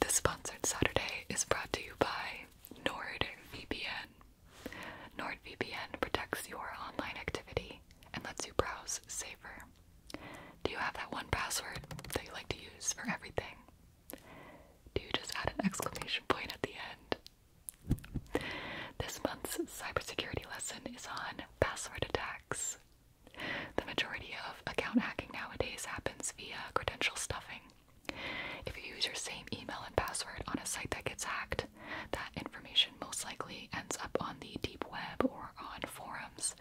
This sponsored Saturday is brought to you by NordVPN. NordVPN protects your online activity and lets you browse safer. Do you have that one password that you like to use for everything? Do you just add an exclamation point at the end? This month's cybersecurity lesson is on password attacks. The majority of account hacking nowadays happens via credential stuffing. If you use your same email and password on a site that gets hacked, that information most likely ends up on the deep web or on forums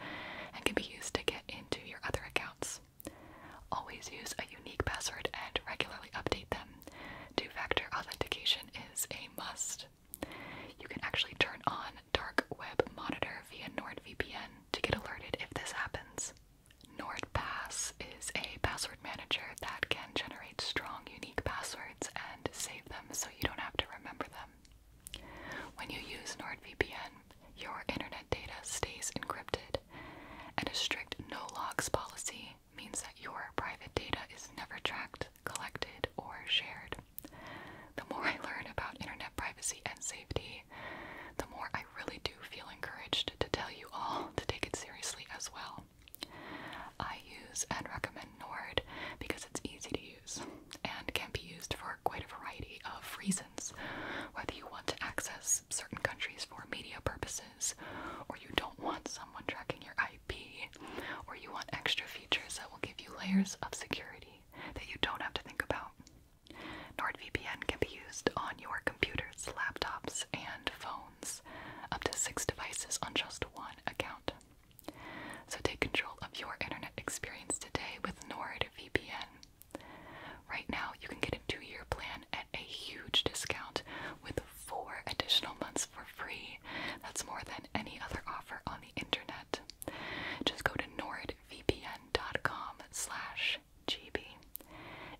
and can be used to get into your other accounts. Always use a unique password and regularly update them. Two factor authentication is a must. You can actually turn on dark web monitor via NordVPN to get alerted if this happens. NordPass is a password manager that can generate strong, unique passwords and save them so you don't have to remember them. When you use NordVPN, your internet data stays encrypted, and a strict no logs policy means that your private data is never tracked, collected, or shared. The more I learn about internet privacy and safety, the more I really do feel encouraged to tell you all to take it seriously as well. I use and recommend Nord because it's easy to use and can be used for quite a variety of reasons. Whether you want to access certain countries for media purposes, or you don't want someone tracking your IP, or you want extra features that will give you layers of security that you don't have to think about. NordVPN can be used on your computers, laptops, and phones, up to six devices on just one account. So take control of your internet experience today with NordVPN. Right now, you can get a two year plan at a huge discount with four additional months for free. That's more than any other offer on the internet. Just go to Nord vpn.com slash gb.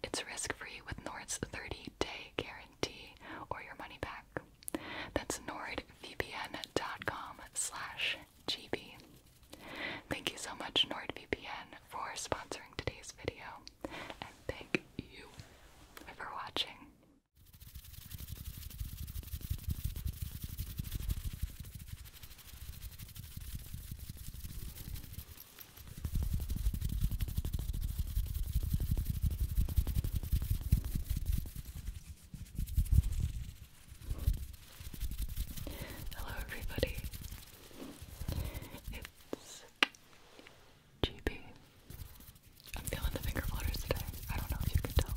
It's risk-free with Nord's 30-day guarantee or your money back. That's nordvpn.com slash gb. Thank you so much NordVPN for sponsoring today's video, and thank you for watching. Hello, everybody. It's GB. I'm feeling the finger flutters today. I don't know if you can tell.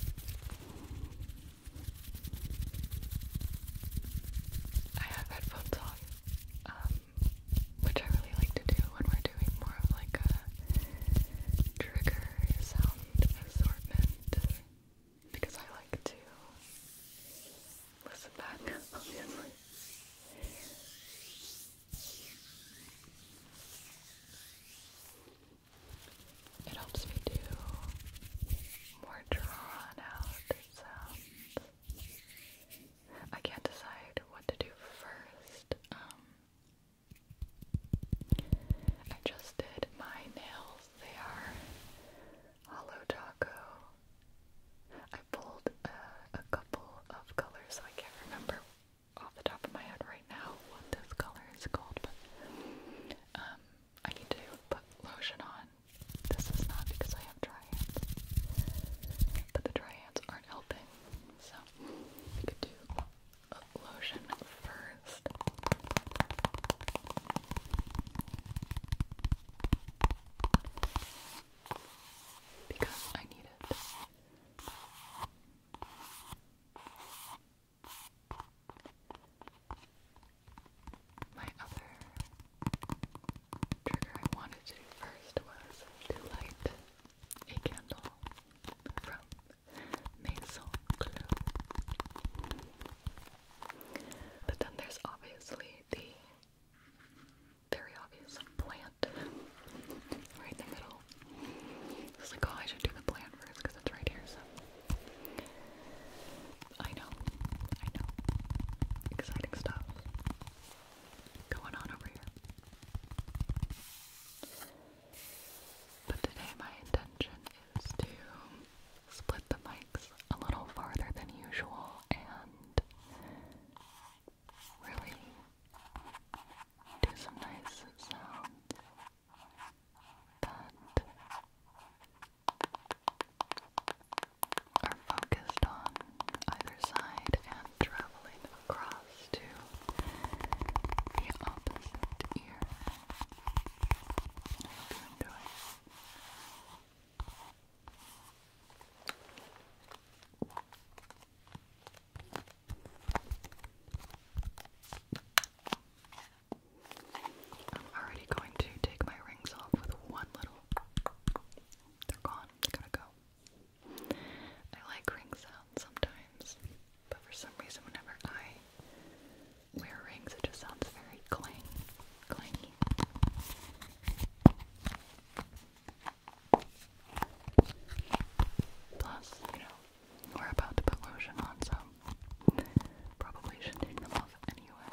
I have headphones on, um, which I really like to do when we're doing more of like a trigger sound assortment because I like to listen back, obviously. It helps me do more drawn out sounds. I can't decide what to do first. Um, I just did my nails. They are hollow taco. I pulled a couple of colors, I can't remember off the top of my head right now what this color is called, but um, I need to put lotion on. This is not because I have dry hands, but the dry hands aren't helping. So we could do lotion first. Because I need it. My other trigger I wanted to do first was to light a candle from Maison Clos. But then there's obviously the very obvious plant right in the middle. It's like, oh, I should do the plant first because it's right here, so I know, I know. Exciting stuff going on over here. But today my intention is to split the mics a little farther than usual and really do some nice sounds that are focused on either side and traveling across to the opposite ear. you I'm already going to take my rings off with one little. They're gone. they to go. I like ring sounds sometimes, but for some reason, whenever I wear rings, it just sounds very clang, clangy. Plus, you know, we're about to put lotion on, so Probably should take them off anyway.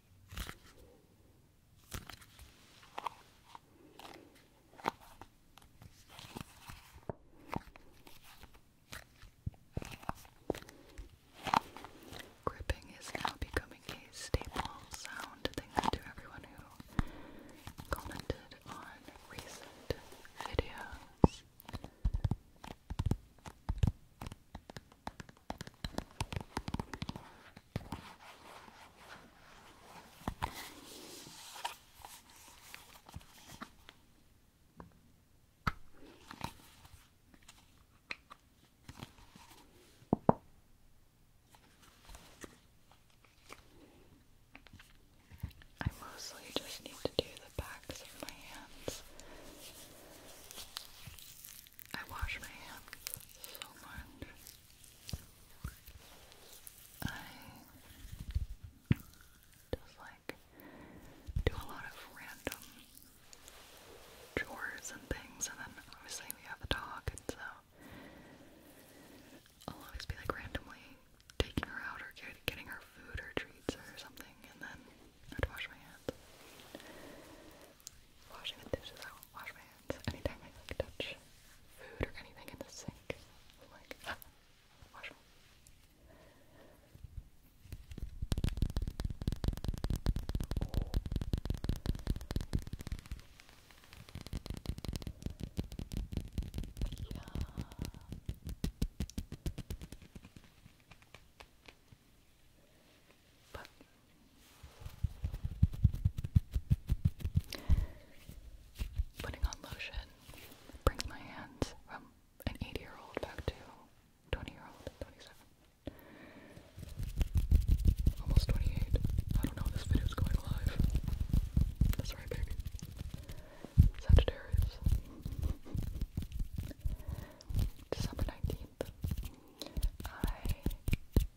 Gripping is now becoming a staple sound thanks to everyone who commented on recent videos. I mostly just need to do the backs of my hands. I wash my hands so much. I just like do a lot of random chores and things, and then obviously we have a dog, so I'll always be like randomly taking her out or getting her food or treats or something, and then I'd wash my hands. Washing the dishes, I wash my hands. Anytime I like touch food or anything in the sink, like, wash Yeah. But Putting on lotion brings my hands from an 80 year old back to 20 year old, 27. Almost 28. I don't know if this video's going live. That's baby. Sagittarius. December 19th. I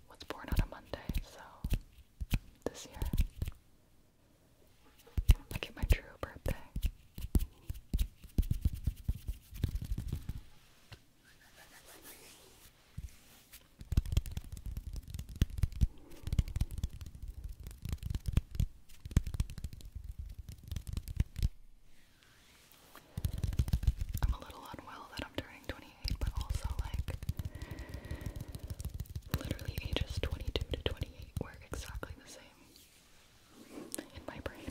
was born on a Monday, so this year I get my true birthday. I'm a little unwell that I'm turning 28, but also like literally ages 22 to 28 were exactly the same in my brain.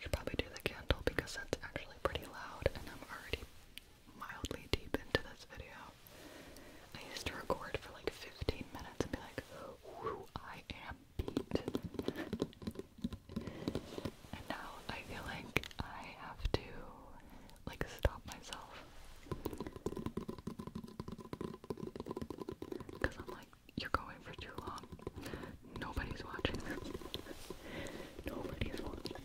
Should probably do the candle because that's actually pretty loud, and I'm already mildly deep into this video. I used to record for like 15 minutes and be like, I am beat." And now I feel like I have to like stop myself. Cause I'm like, you're going for too long. Nobody's watching. Nobody's watching.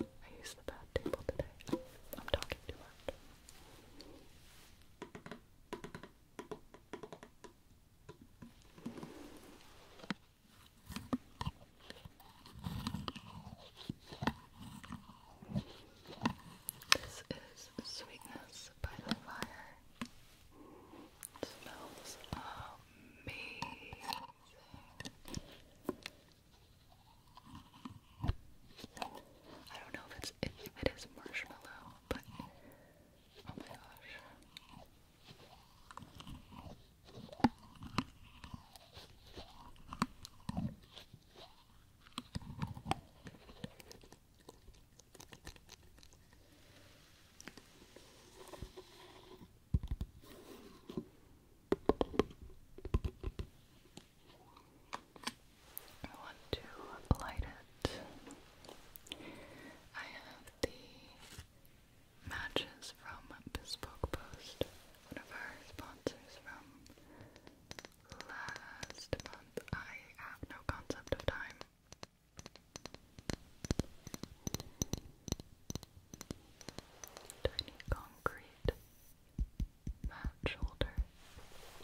I used the bad table today. I'm talking too much. This is Sweetness by the Fire. smells amazing. I don't know if it's if it is marshmallow, but oh my gosh. I want to light it. I have the matches from Bespoke Post, one of our sponsors from last month. I have no concept of time. Tiny concrete mat shoulder,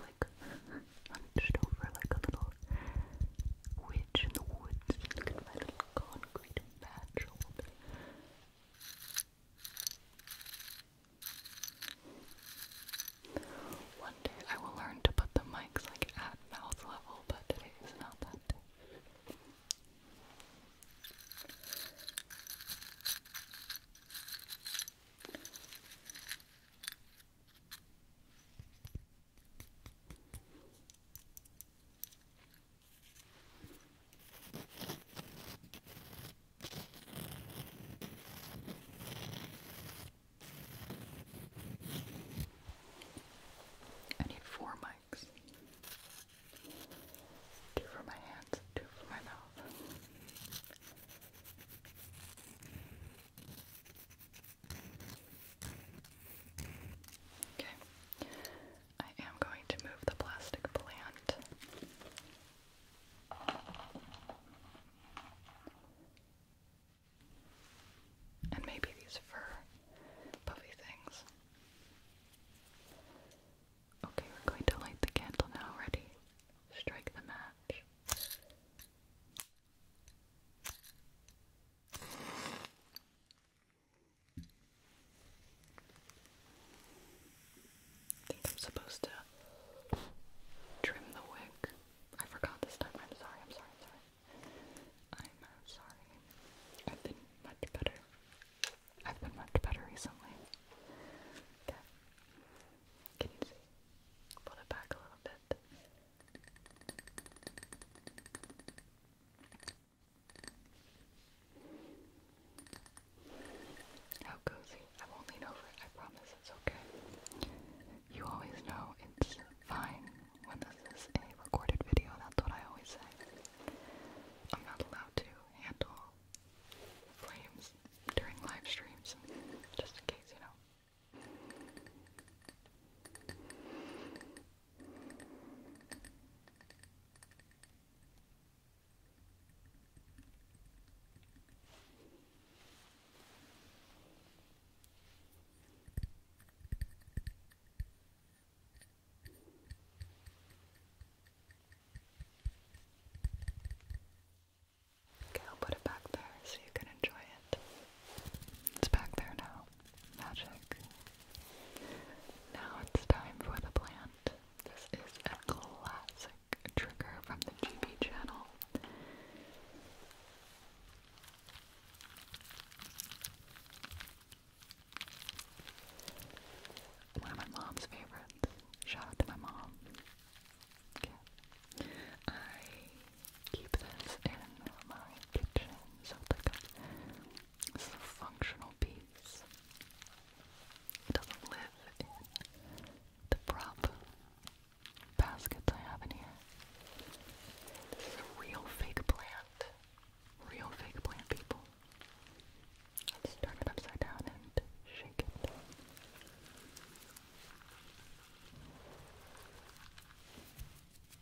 like hunched over like a little witch in the woods. Look at my little concrete match One day I will learn to put the mics like at mouth level, but today is not that I need four mics two for my hands, two for my mouth. Okay. I am going to move the plastic plant. And maybe these fur puffy things. Okay, we're going to light the candle now. Ready? Strike the match. I think I'm supposed to trim the wick. I forgot this time. I'm sorry, I'm sorry, sorry. I'm uh, sorry. I've been much better. I've been much better recently. Okay. Can you see? Put it back a little bit. How cozy. I won't lean over I promise it's okay. You always know it's fine when this is a recorded video, that's what I always say. I'm not allowed to handle flames during live streams, just in case, you know. Okay, I'll put it back there so you can enjoy it. It's back there now. Magic. Now it's time for the plant. This is a classic trigger from the GB channel. One of my mom's favorites. Shout out to my mom. I keep this in my kitchen so like a, functional piece. It doesn't live the prop baskets I have in here. This is a real fake plant. Real fake plant people. Let's turn it upside down and shake it.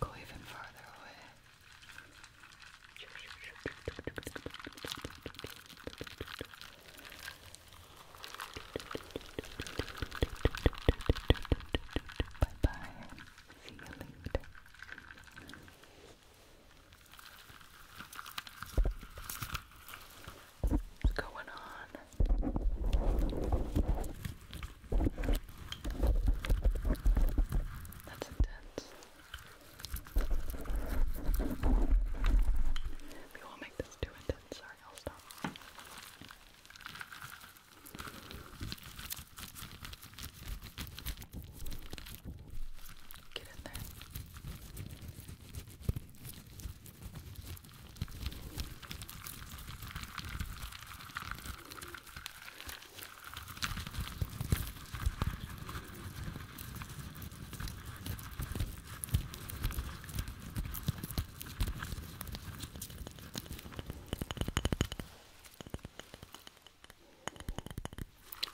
We'll go even farther away. Bye bye. See you later. What's going on? That's intense. we'll make this too intense. Sorry, I'll stop. Get in there.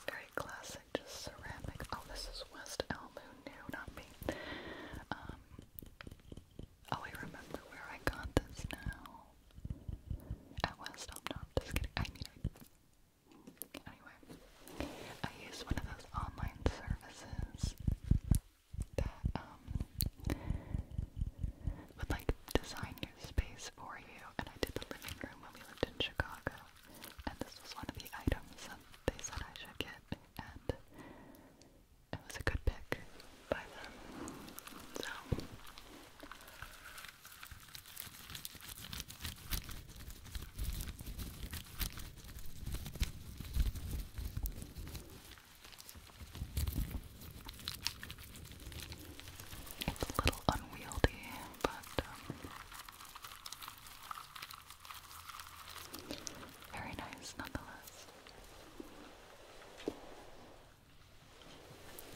Very classic, just ceramic. Oh, this is West Elm, who not me. Um, oh, I remember where I got this now. At West Elm, no, just kidding. I need Anyway, I use one of those online services that um would like design your space for you. And I did the living room when we lived in Chicago, and this was one of the items that they said I should get, and it was a good pick by them. So. It's a little unwieldy, but um, very nice nonetheless.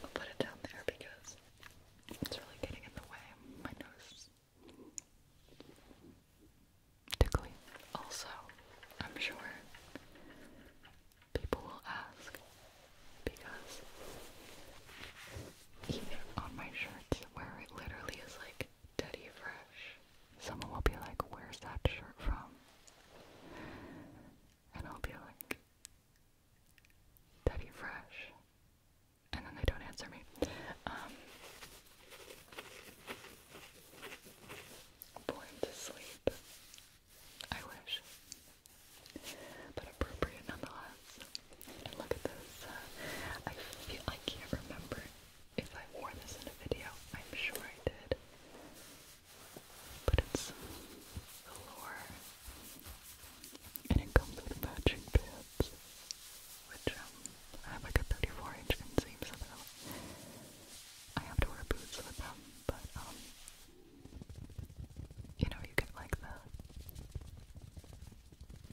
I'll put it down there because it's really getting in the way. My nose. Also, I'm sure people will ask because even on my shirts where it literally is like Teddy Fresh, someone will be like, Where's that shirt from? And I'll be like, Teddy Fresh. And then they don't answer me. Um, Born to sleep. I wish. But appropriate nonetheless. look at this. Uh, I feel I can't remember if I wore this in a video. I'm sure I did. But it's velour. And it comes with matching pants. Which um, I have like a 34 inch inseam, so I have to wear boots with them, but um, you know, you get like the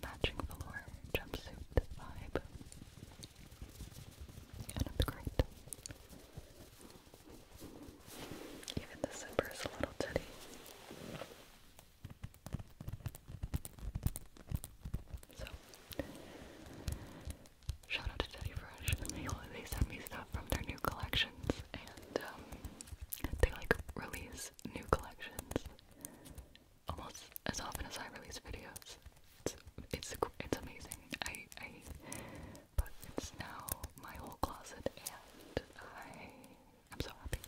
matching velour jumpsuit vibe, it's great. Even the zipper is a little titty. So, Shout out to Teddy Fresh. They, they send me stuff from their new collections, and um, they like release new collections almost as often as I release videos. It's it's, it's amazing. I I but it's now my whole closet, and I I'm so happy.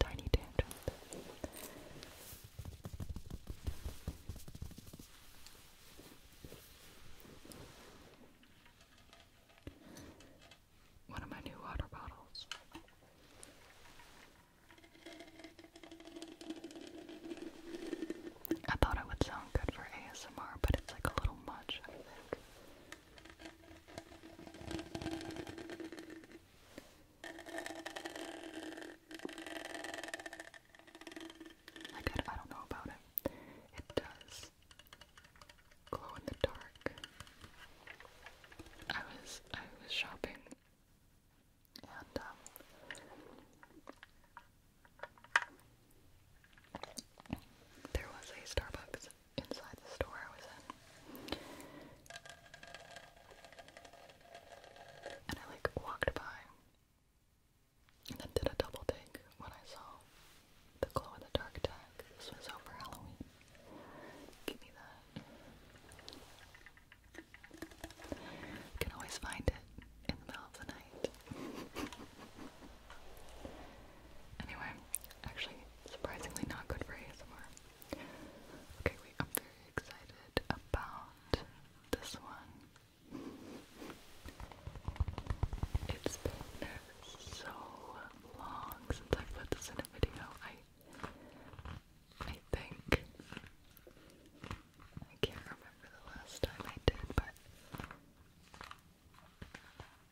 Tiny tangent. One of my new water bottles. I thought it would sound good for ASMR, but it's like a little much, I think. I, don't know about it. It does glow in the dark. I was, I was shopping and, um, there was a Starbucks inside the store I was in. And I like walked by and then did a double take when I saw the glow in the dark tag. This was over Halloween. Give me that. can always find it in the middle of the night. anyway, actually surprisingly not good for ASMR. Okay, wait, I'm very excited about this one. It's been so long since I put this in a video. I I think I can't remember the last time I did, but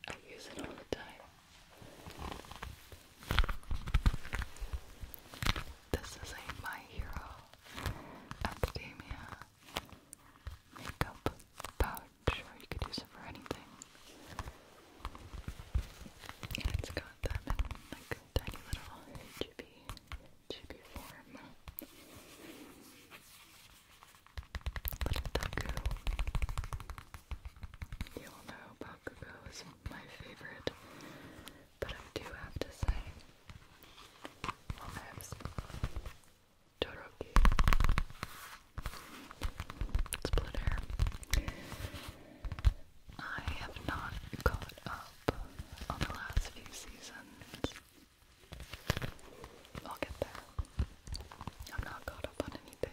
I use it all the time. This is a My Hero Academia makeup pouch, or you could use it for anything. And it's got them in like tiny little chibi, chibi form. Little Taku. You all know Bakugo is my favorite but I do have to say, Maps Todoroki. I have not caught up on the last few seasons. I'll get there. I'm not caught up on anything.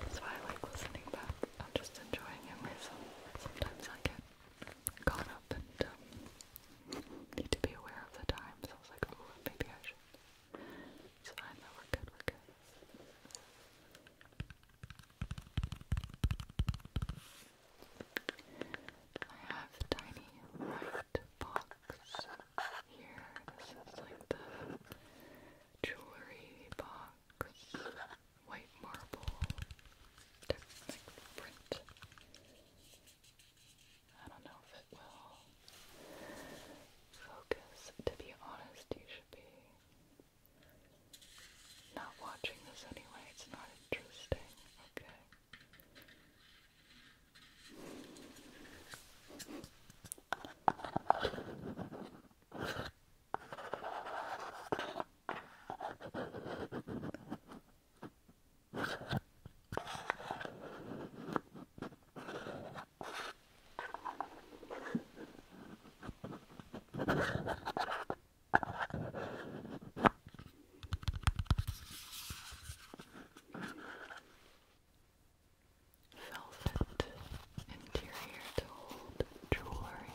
That's why I like listening back. I'm just enjoying it myself. Sometimes I get caught up and um, need to be aware of the time, so I was like, oh, maybe I should. It's fine, we're good, we're good. I have a tiny white box here. This is like the jewelry box, white marble. I don't know if it will focus. To be honest, you should be not watching this anyway. It's not interesting. Okay. Velvet interior to hold jewelry.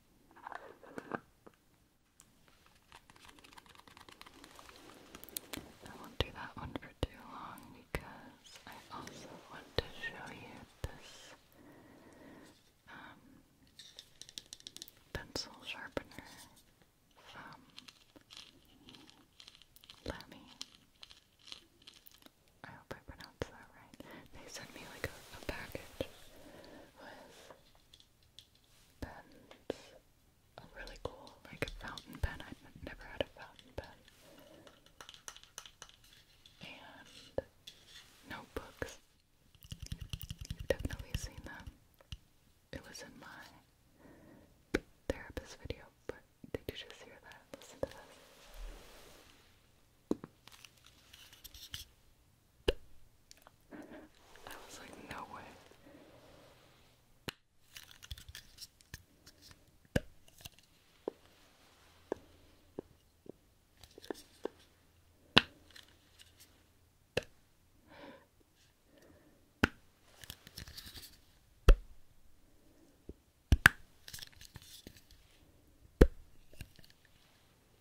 I won't do that one for too long because I also want to show you this um, pencil sharpener from Lamy. I hope I pronounce that right. They sent me like a, package with pens. A really cool, like fountain pen. I've never had a fountain pen. And notebooks. You've definitely seen them. It was in my therapist video, but did you just hear that? Listen to this. I was like, no way.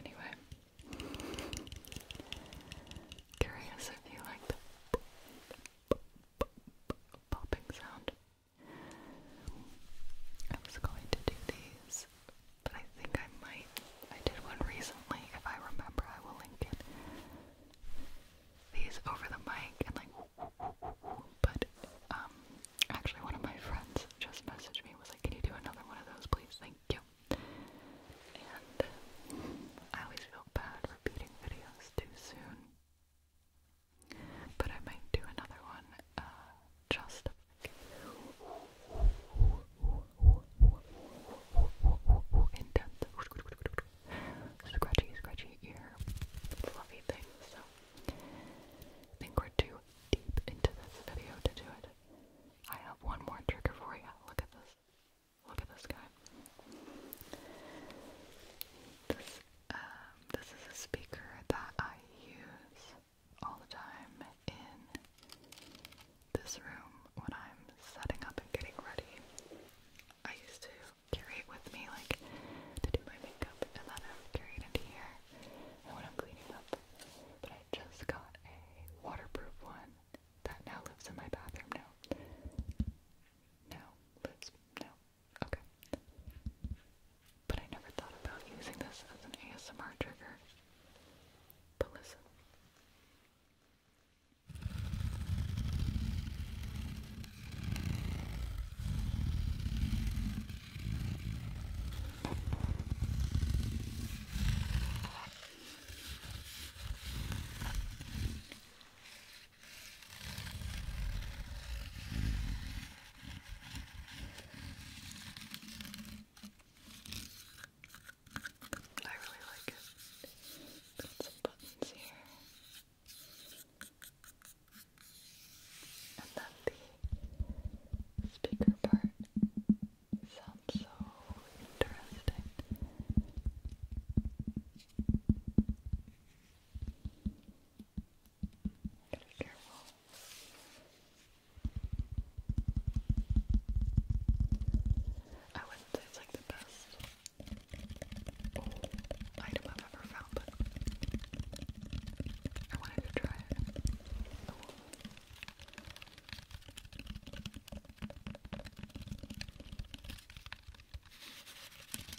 Anyway, curious if you like the popping sound. I was going to do these, but I think I might. I did one recently. If I remember, I will link it. These over the mic and like, but um, actually, one of my friends just messaged me was like, "Can you do another one of those, please? Thank you." And I always feel bad repeating videos too soon. But I might do another one uh, just intense scratchy, scratchy ear fluffy thing. So think we're too deep into this video to do it. I have one more trigger for you. Look at this. Look at this guy. Um, this is a speaker that I use all the time in this room when I'm setting up and getting ready. I used to carry it with me, like to do my makeup, and then I would carry it here and when I'm cleaning up. But I just got a waterproof one that now lives in my bathroom. Now, no, lives, no, Okay. But I never thought about using this as an ASMR trigger. But listen. I really like it. some buttons here. And then the speaker part sounds so interesting. Gotta I wouldn't say it's like the best item I've ever found, but I wanted to try it.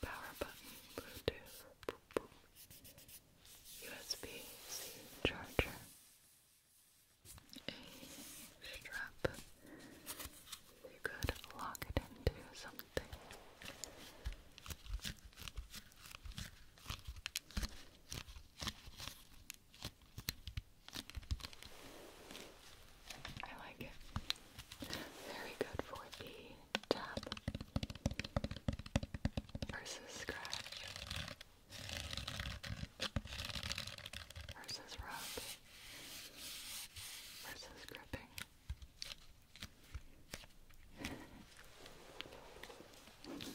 Power button, Bluetooth, boop, boop. USB C charger a strap. You could lock it into something. I like it. Very good for the tap versus scratch versus rub versus gripping. Okay.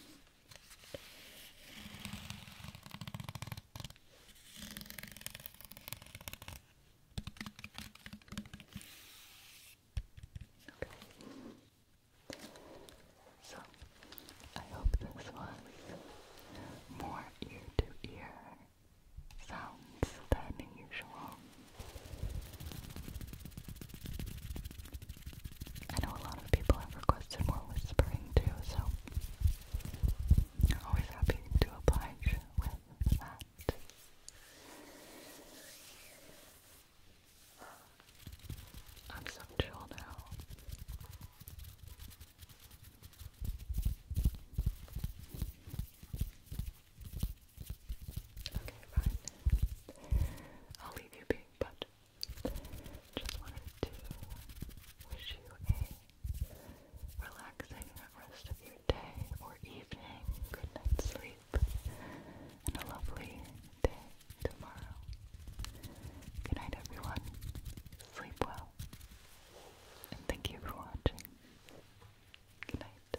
So, I hope this was more ear to ear sounds than usual. I know a lot of people have requested more whispering too, so always happy to oblige with that. I'm so chill now. Okay, fine. I'll leave you being, but just wanted to wish you a relaxing rest of your day or evening, good night's sleep, and a lovely day tomorrow. Good night, everyone. Sleep well. And thank you for watching. Good night.